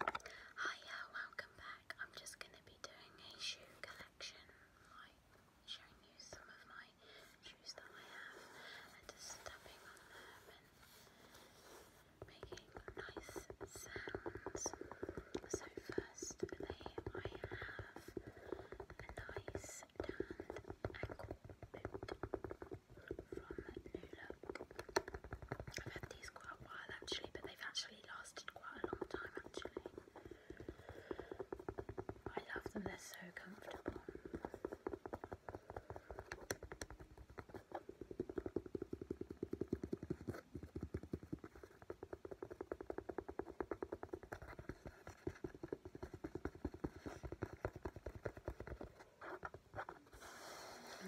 Hiya, oh, welcome back. I'm just going to be doing a shoe collection, like showing you some of my shoes that I have and just stepping on them and making nice sounds. So firstly, I have a nice tanned ankle boot from New Look. I've had these quite a while actually, but they've actually lasted quite a long time actually. I love them, they're so comfortable.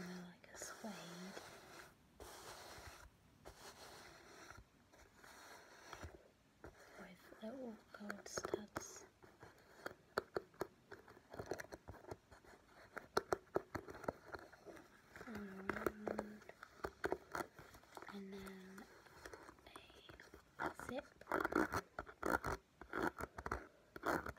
they're like a suede with little gold studs. And, then a zip.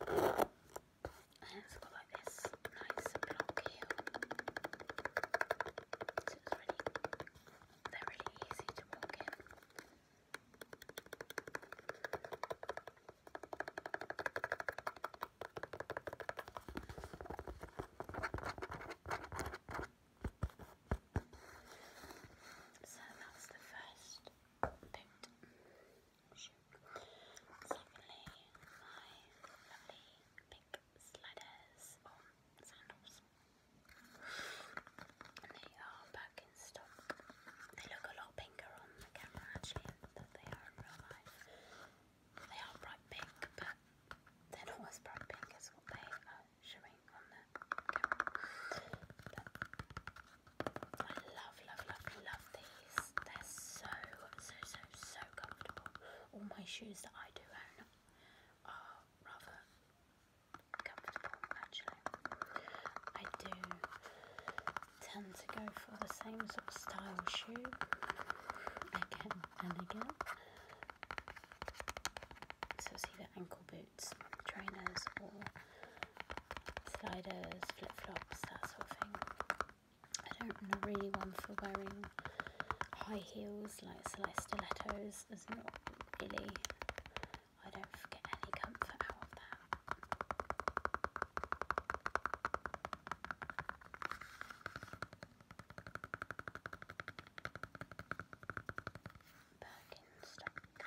And it's got like this nice block So it's really, they easy to walk in. So that's the first Secondly, my lovely pink sliders or sandals. And they are back in stock. They look a lot pinker on the camera actually than they are in real life. They are bright pink, but they're not as bright pink as what they are showing on the camera. I love, love, love, love these. They're so, so, so, so comfortable. All my shoes that I do own are rather comfortable, actually. I do tend to go for the same sort of style shoe again and again. So it's either ankle boots, trainers, or sliders, flip-flops, that sort of thing. I don't I'm really one for wearing high heels, like, so stilettos, there's not really, I don't get any comfort out of that. Birkenstock.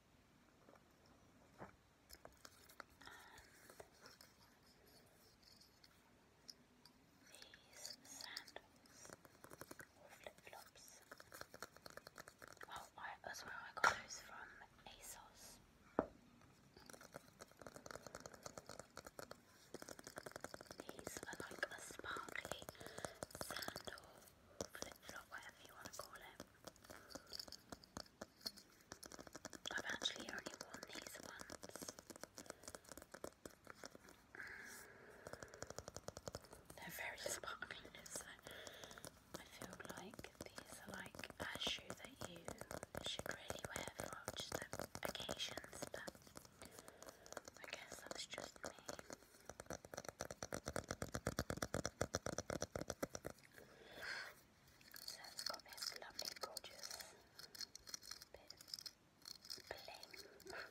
these sandals or flip-flops. Oh, I, that's where I got those from ASOS. These are like a sparkly sandal flip flop, whatever you want to call it. I've actually only worn these once. Mm. They're very sparkling, so I feel like these are like a shoe that you should really wear for just occasions, but I guess that's just me. So it's got this lovely, gorgeous bit of bling. And then the sun itself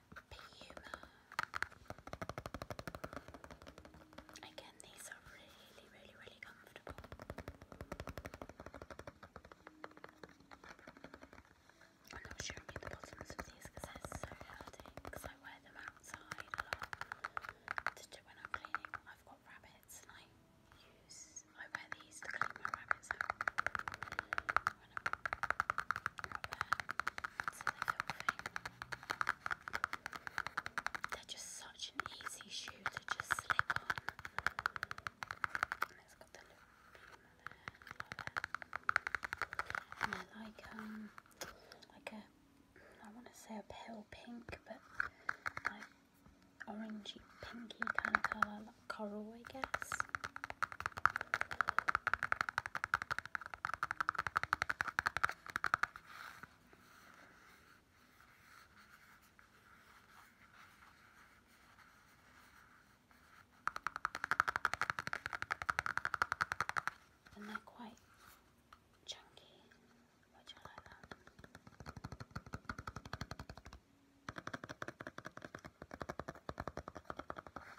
Puma. Again, these are really, really, really comfortable. I'm not showing you the bottoms of these because they're so healthy because I wear them outside a lot to when I'm cleaning. I've got rabbits and I use, I wear these to clean my rabbits they're just such an easy shoe to just slip on. And it's got the little puma there. And they're like um like a I want to say a pale pink, but like orangey pinky kind of colour, like coral, I guess. And they're quite chunky, which I like that.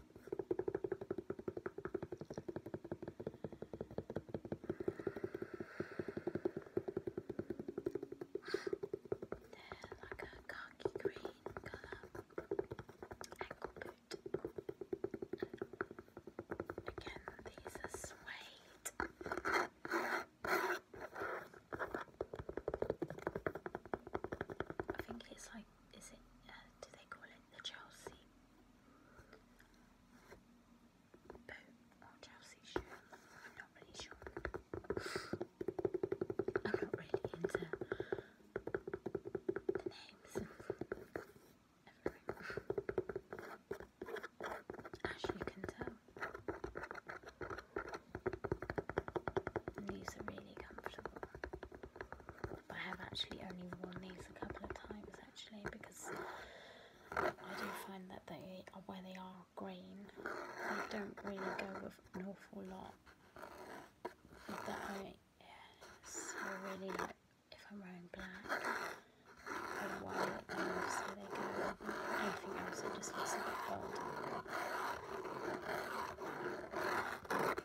They're like a khaki green colour ankle boot. Again, these are suede. I think it's like, is it, uh, do they call it the Chelsea boot I'm not really sure. I'm not really into the names. As you can tell, these are really comfortable. I have actually only worn these a couple of times actually because I do find that they are where they are green they don't really go with an awful lot that I so really like if I'm wearing black I white them so they go with anything else it just looks a bit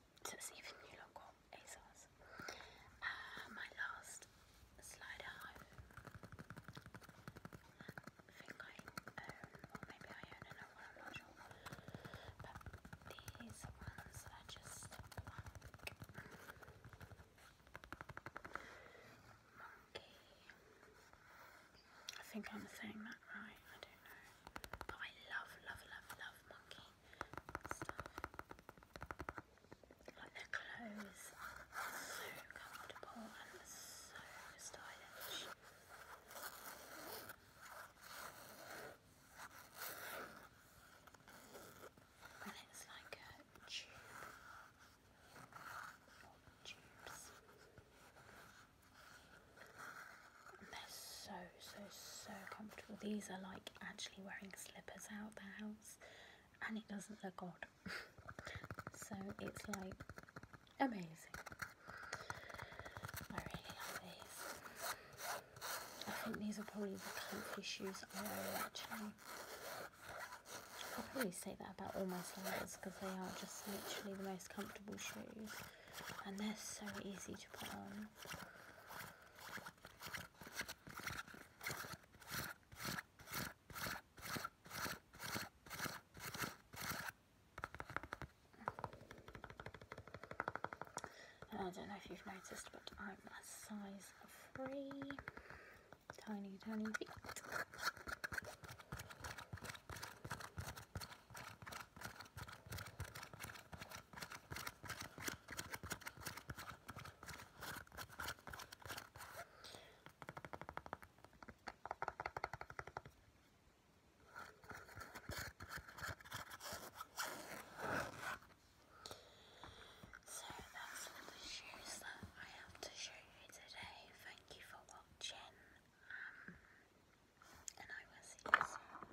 to see if you look what ASOS. my last slider I think I am um, I think I'm saying that right, I don't know. But I love, love, love, love monkey stuff. Like their colour so comfortable and so stylish. And it's like a tube or tubes they're so, so, so comfortable. These are like actually wearing slippers out the house and it doesn't look odd. so it's like amazing. I really love these. I think these are probably the comfy shoes I wear actually. I'll probably say that about all my slippers because they are just literally the most comfortable shoes and they're so easy to put on. I don't know if you've noticed, but I'm a size three, tiny, tiny feet. So that's all the shoes that I have to show you today. Thank you for watching, um, and I will see you soon.